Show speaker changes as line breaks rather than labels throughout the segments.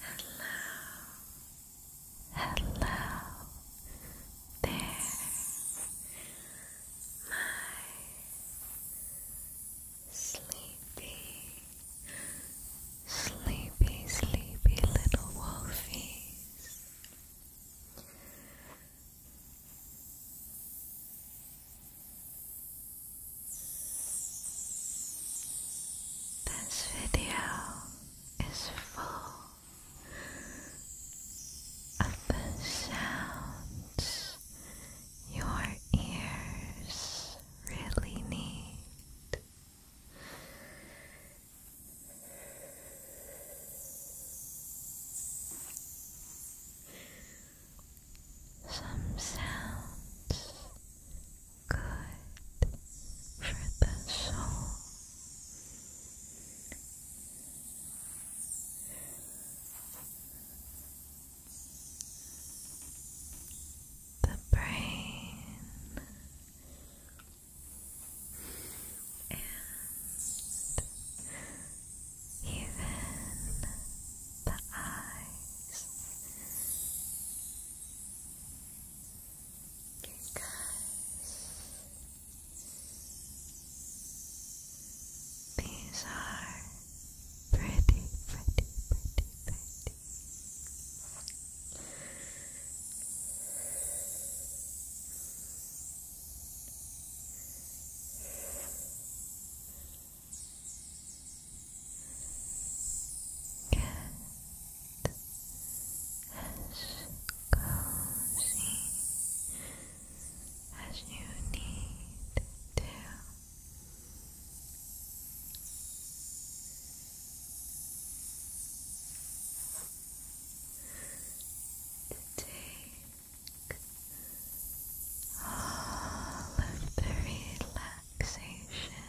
Hello, hello there, my sleepy, sleepy, sleepy little wolfies. This video is full of the sounds your ears really need some sounds good for the soul. The brain and even the eyes. Your guys. These are pretty, pretty, pretty, pretty. Get as cozy as you need to. take all of the relaxation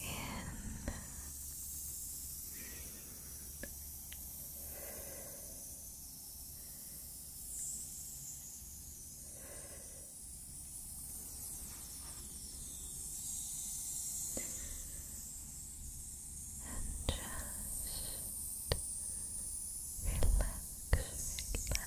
in. And just relax, relax, relax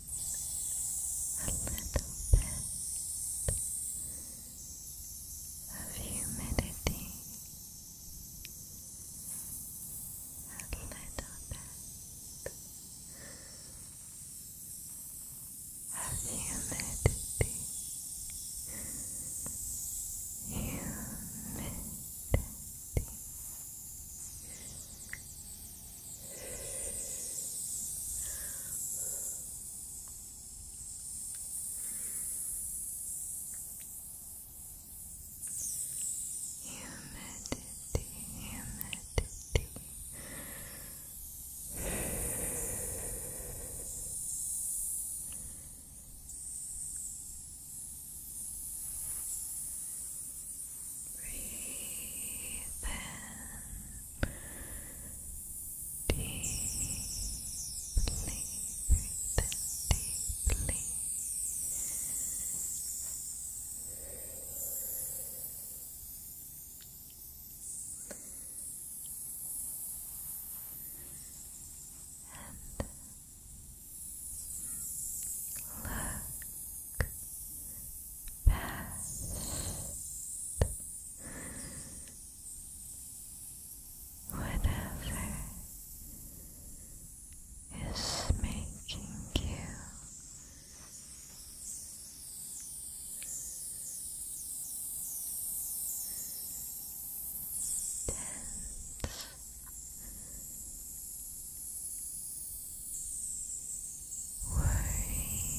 of humidity, a little bit of humidity. Humidity, Humidity, humidity. Breathe in deeply, breathe in deeply. And look past, whatever is making you tense unable to sleep. Relax.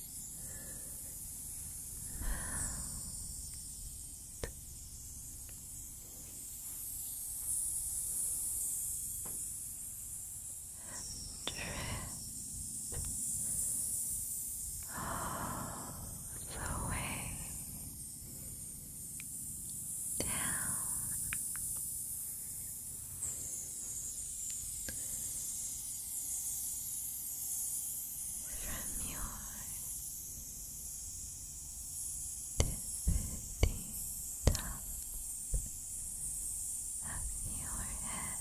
all the way down from your tippity top of your head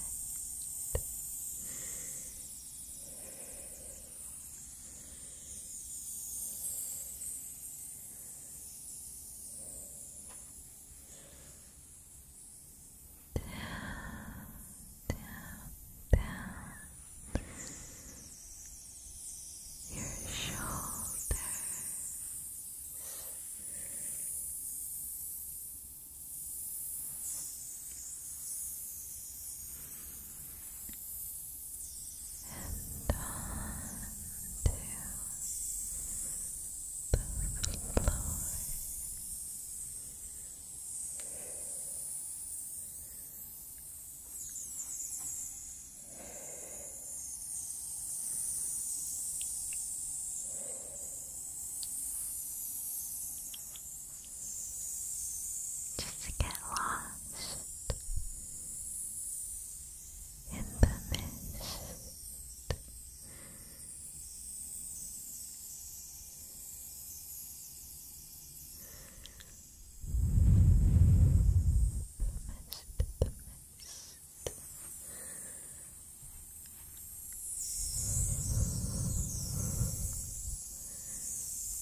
down, down your shoulders. And on to the floor. Just get lost in the mist mist, the mist.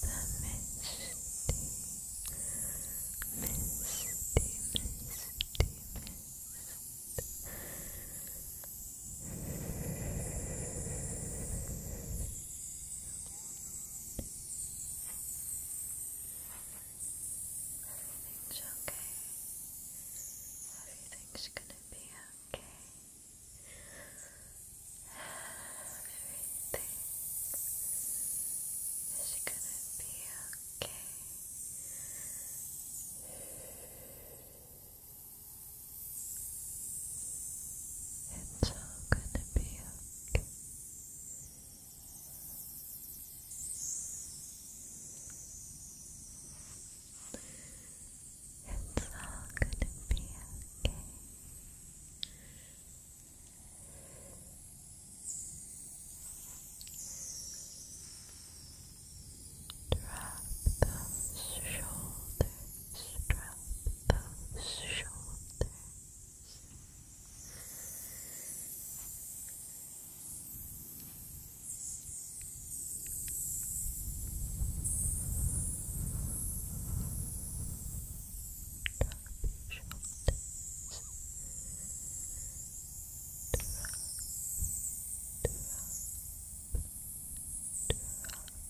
The misty, misty, misty, misty, Everything's okay. Everything's gonna be okay. Everything is gonna be okay. Everything is gonna be okay. It's all gonna be okay. It's all gonna be okay. Drop those shoulders, drop those shoulders. Drop your shoulders. Drop, drop, drop.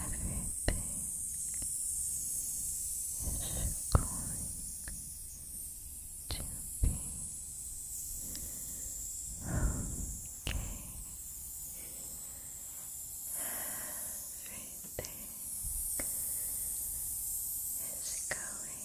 Everything is going to be okay. Everything is going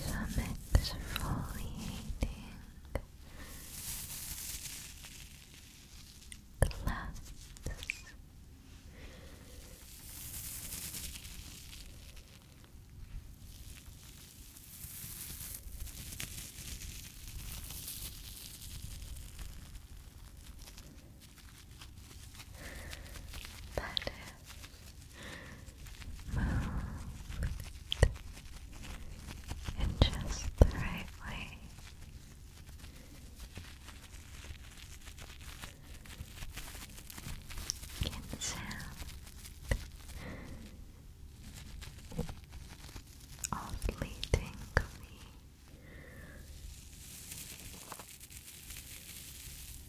some exfoliating cleanse. That moved in just the right way. Can sound oddly tingly.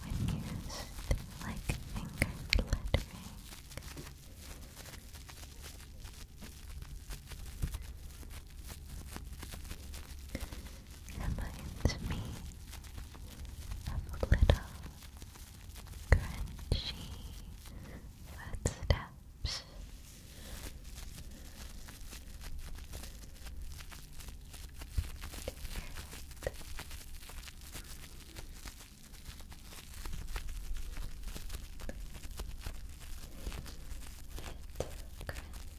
When used like finger lettering. Reminds me of little crunchy footsteps lips. Perfect. crunchy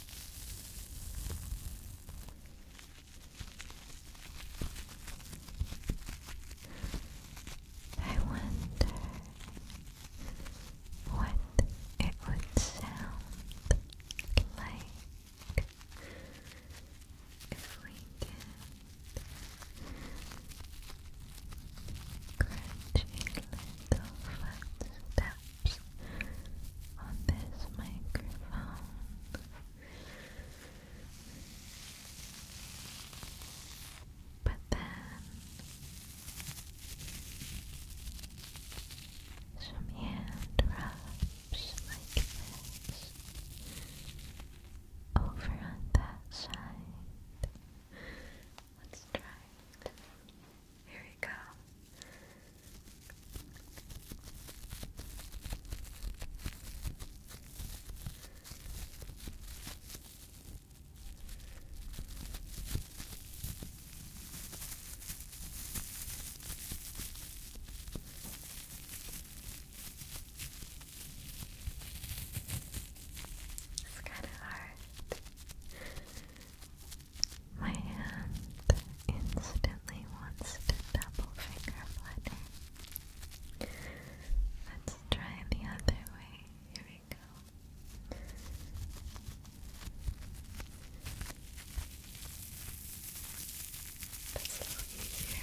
I wonder what it would sound like if we did crunchy little footsteps taps on this microphone. But then some hand rubs like this over on that side. Let's try it. Here we go. It's kind of hard. My hand instantly wants to double finger flutter. Let's try the other way. Here we go. That's a little easier.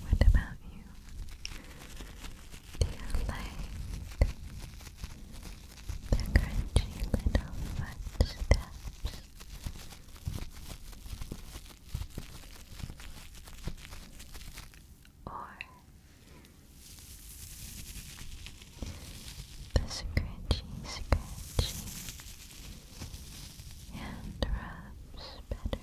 What about you? Do you like the crunchy little footsteps? Or the scratchy, scratchy hand rubs better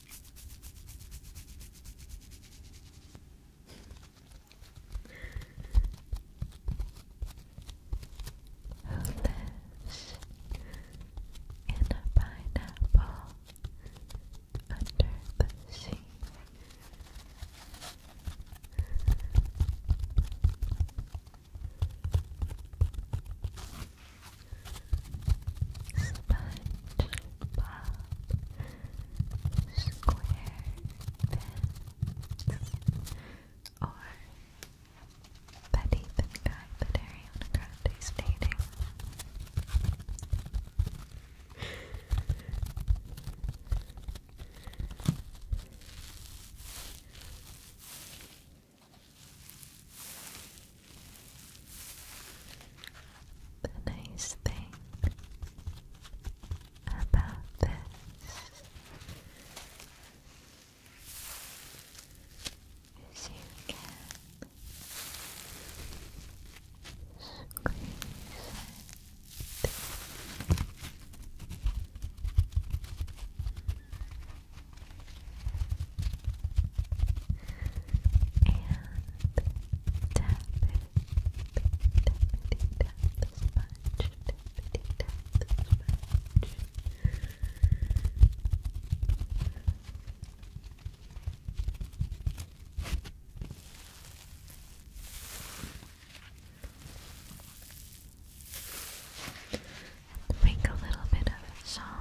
Who lives in a pineapple under the sea? Sponge above square pins or that even guy that Ariana Grande is dating. The nice thing about this is you can squeeze and tap it. Tappity tap the sponge. Tappity tap the sponge. make a little bit of a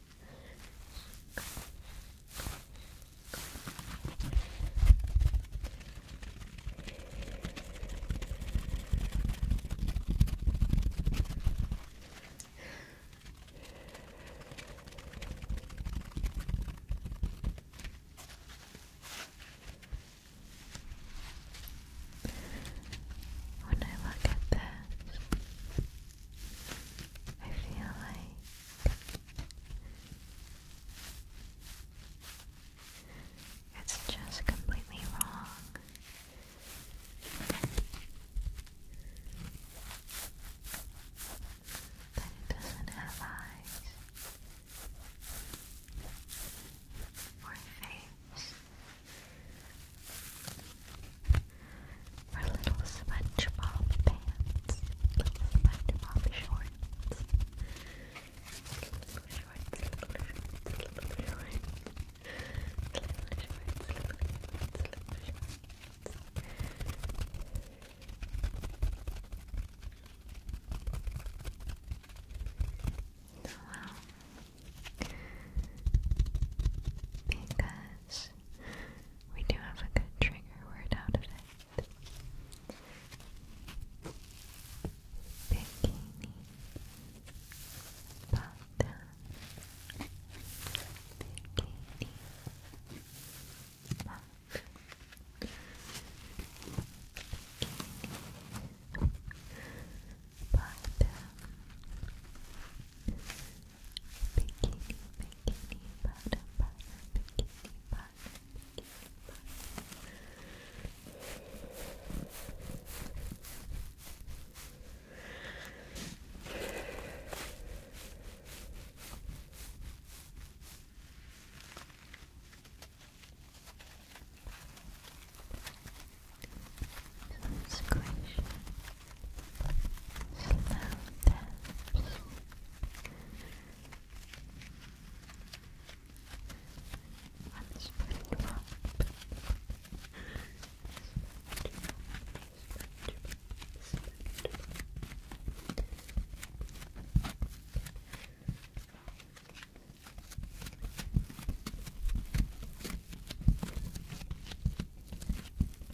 When I look at this, I feel like it's just completely wrong. That it doesn't have eyes or a face. Her little SpongeBob pants, little SpongeBob shorts, little shorts, little shorts, little shorts, little shorts, little shorts, little Because we do have a good trigger word out of it. Bikini Bata Bikini Bata Bikini Bata Bikini, bikini, bottom, bottom, bikini, bottom, bikini, bottom. Slow down, slow down, slow down, slow down,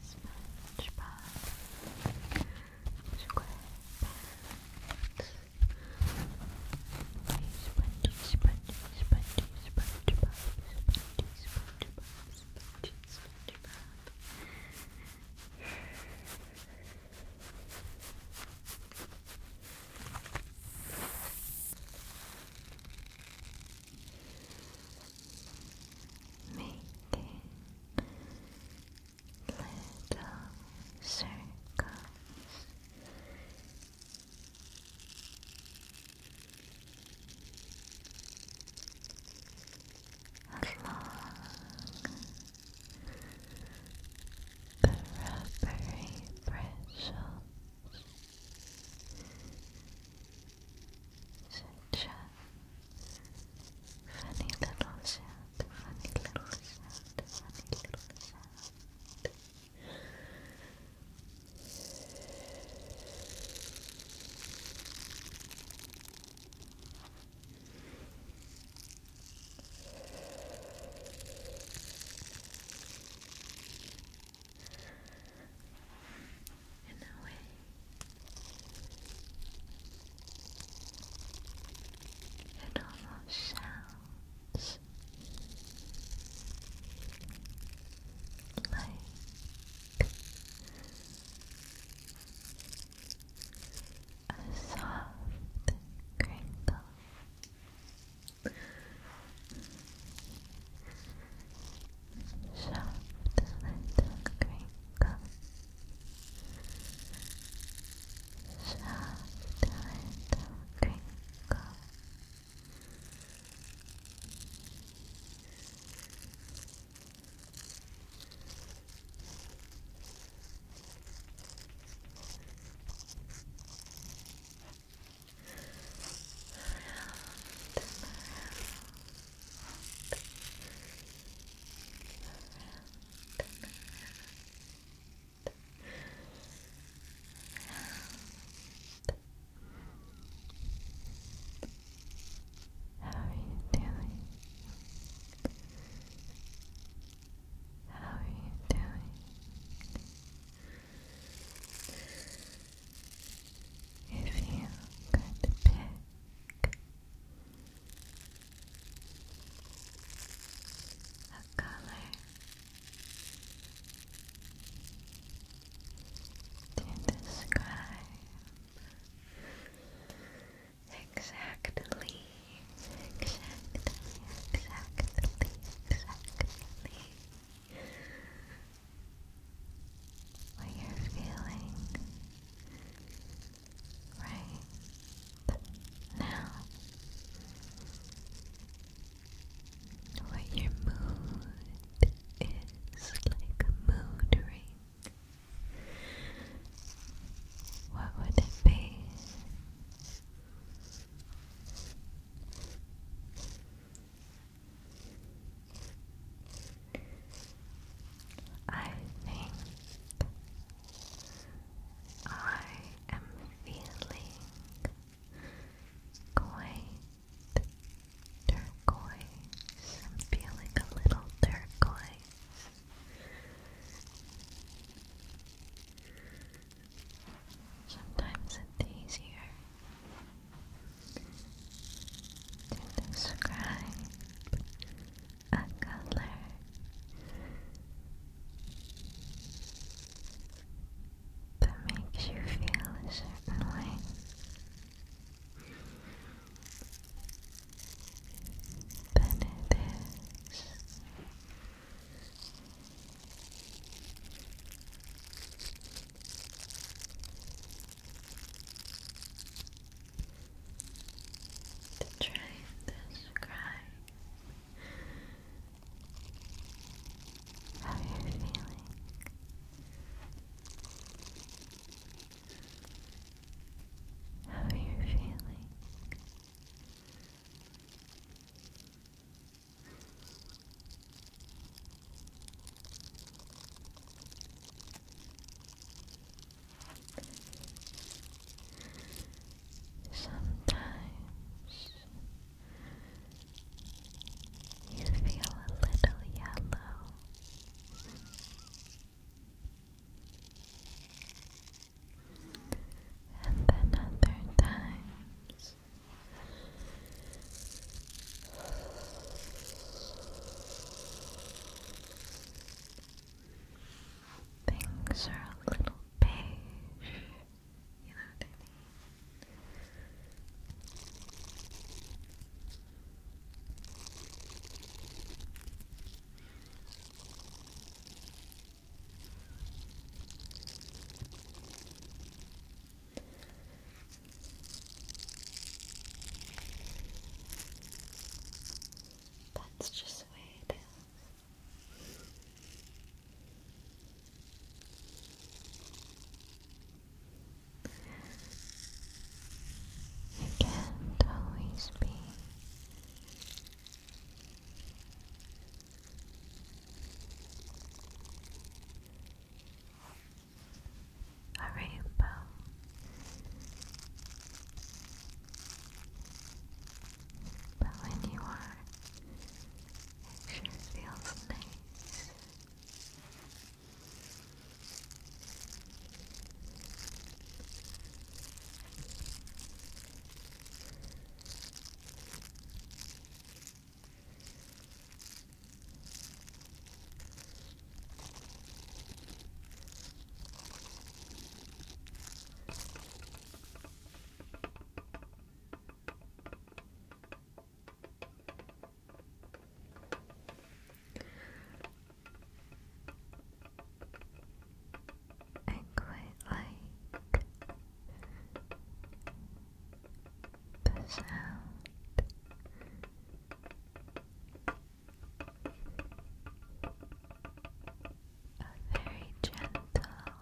SpongeBob, SquarePants. Spongy, spongy, spongy, SpongeBob, spongy, SpongeBob, spongy, SpongeBob. Making little circles. Along the rubbery bristles such a funny little sound, funny little sound, funny little sound and away. And all those sounds like a soft crinkle soft little crinkle soft little crinkle Around and around, how are you doing? How are you doing? if you could pick a color to describe exactly, exactly, exactly, exactly what you're feeling right now, what your mood is like mood ring. What would it be? I think I am feeling quite turquoise. I'm feeling a little turquoise. Sometimes it's easier to describe a color. That makes you feel a certain way. Then it is to try and describe how you're feeling. How you're feeling. Sometimes you feel a little yellow. And then other times Things are a little beige, you know what that's just the way it is. You can't always be a rainbow. But when you are, it sure feels nice. I quite the sound a very gentle tin tapping like this.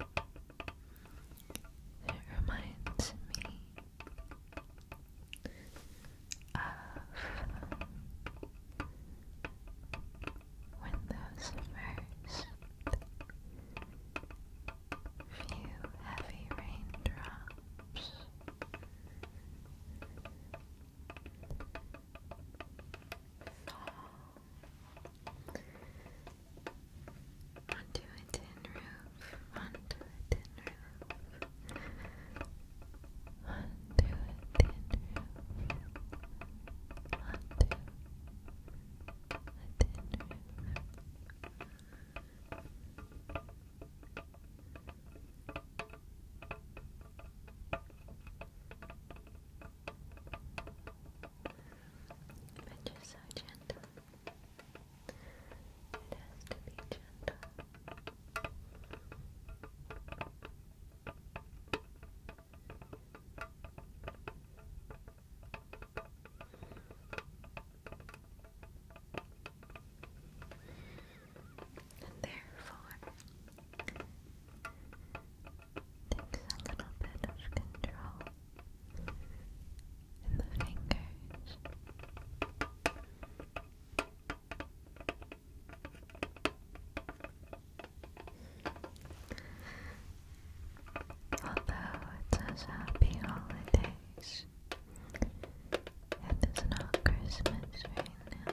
It reminds me of when those first few heavy raindrops Onto a tin roof, onto a tin roof, onto a tin roof, onto a tin roof. But just so gentle. It has to be gentle. And therefore, takes a little bit of control in the fingers. Although it says happy holidays, it is not Christmas right now.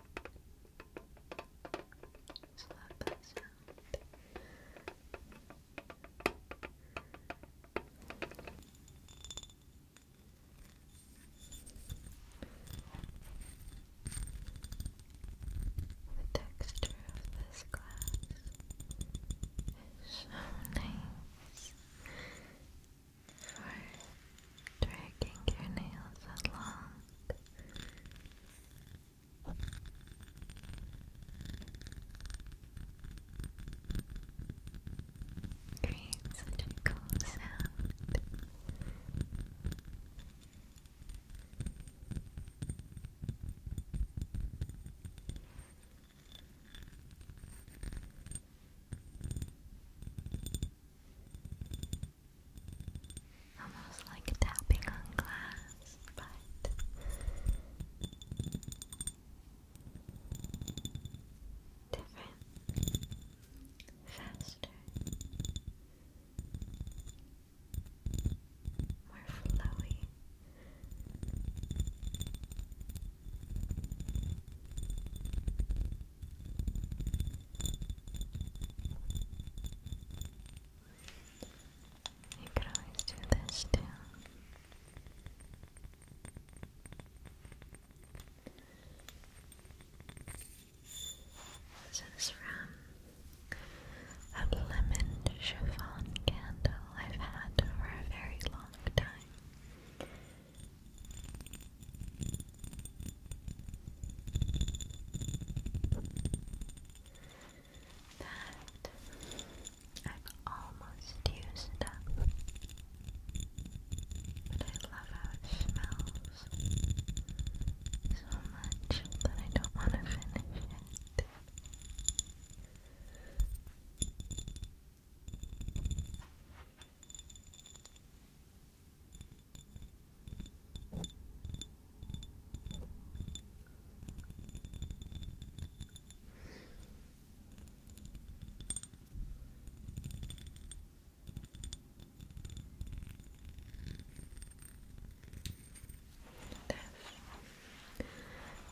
So that sound. The texture of this glass is so nice for dragging your nails along. Creates such a cool sound. Almost like tapping on glass, but different, faster, more flowy. You could always do this too. This is from a lemon chiffon candle I've had for a very long time that I've almost used up, but I love how it smells so much that I don't want to finish it.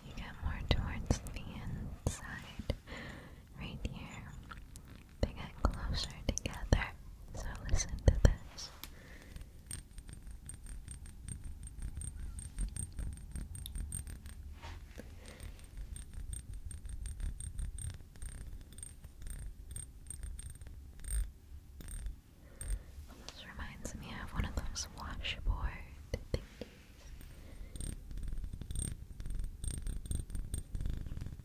You get more towards the inside, right here. They get closer together, so listen to this. Almost reminds me of one of those washboard thingies.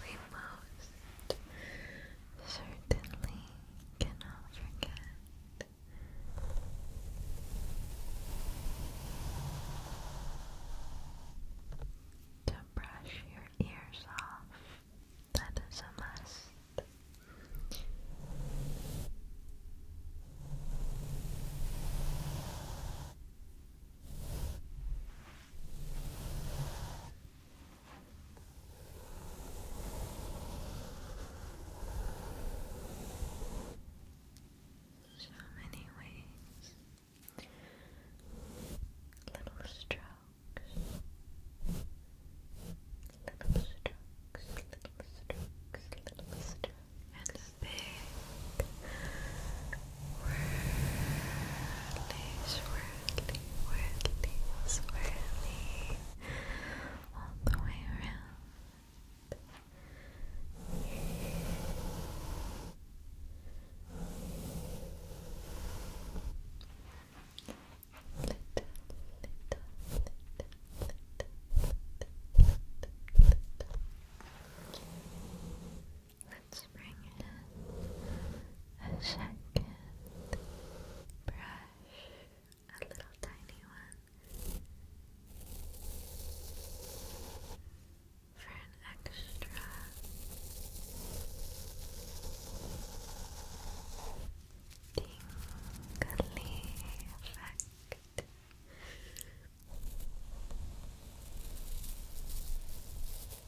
we most certainly cannot forget. To brush your ears off, that is a must. So many ways, little strokes, little strokes, little strokes, little strokes, and a big, swirly, swirly, swirly, swirly all the way around. Little, little, little, little, little, little. Let's bring in a second brush, a little tiny one, for an extra tingly effect.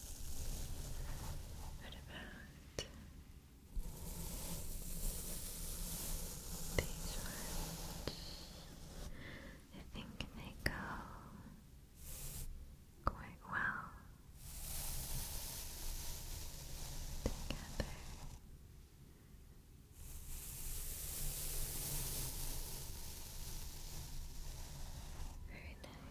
What about these ones? I think they go quite well together. Very nice.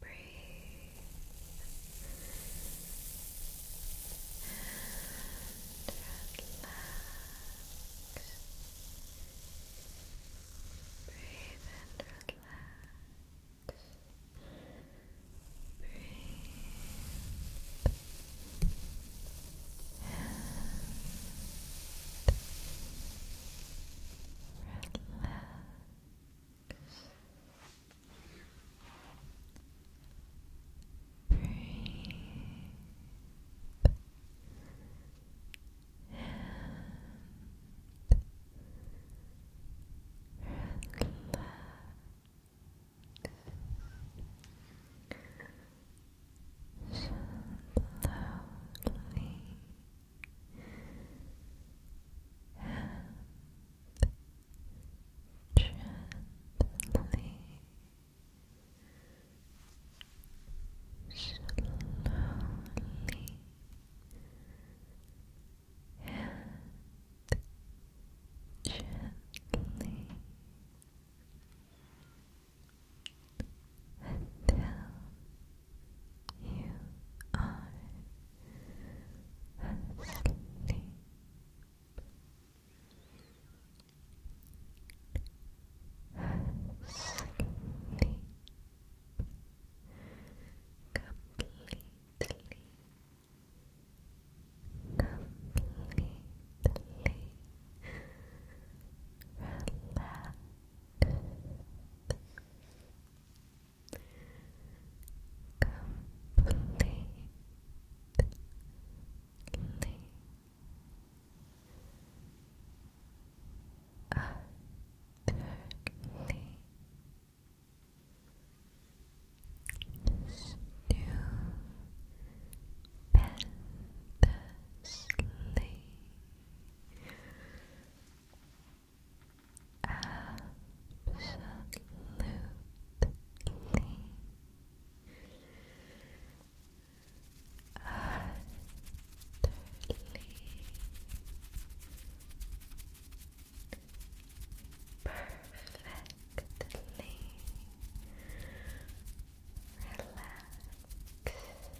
Breathe. And relax. Breathe and relax. Breathe. And relax. Breathe and relax. Slowly gently slowly and gently until you are asleep. Asleep. Completely. Completely relaxed completely utterly Stupendously Absolutely. Utterly. Perfectly relaxed.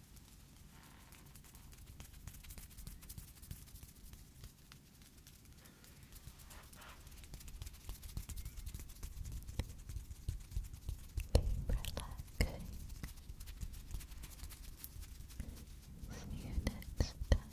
relaxing. See you next time.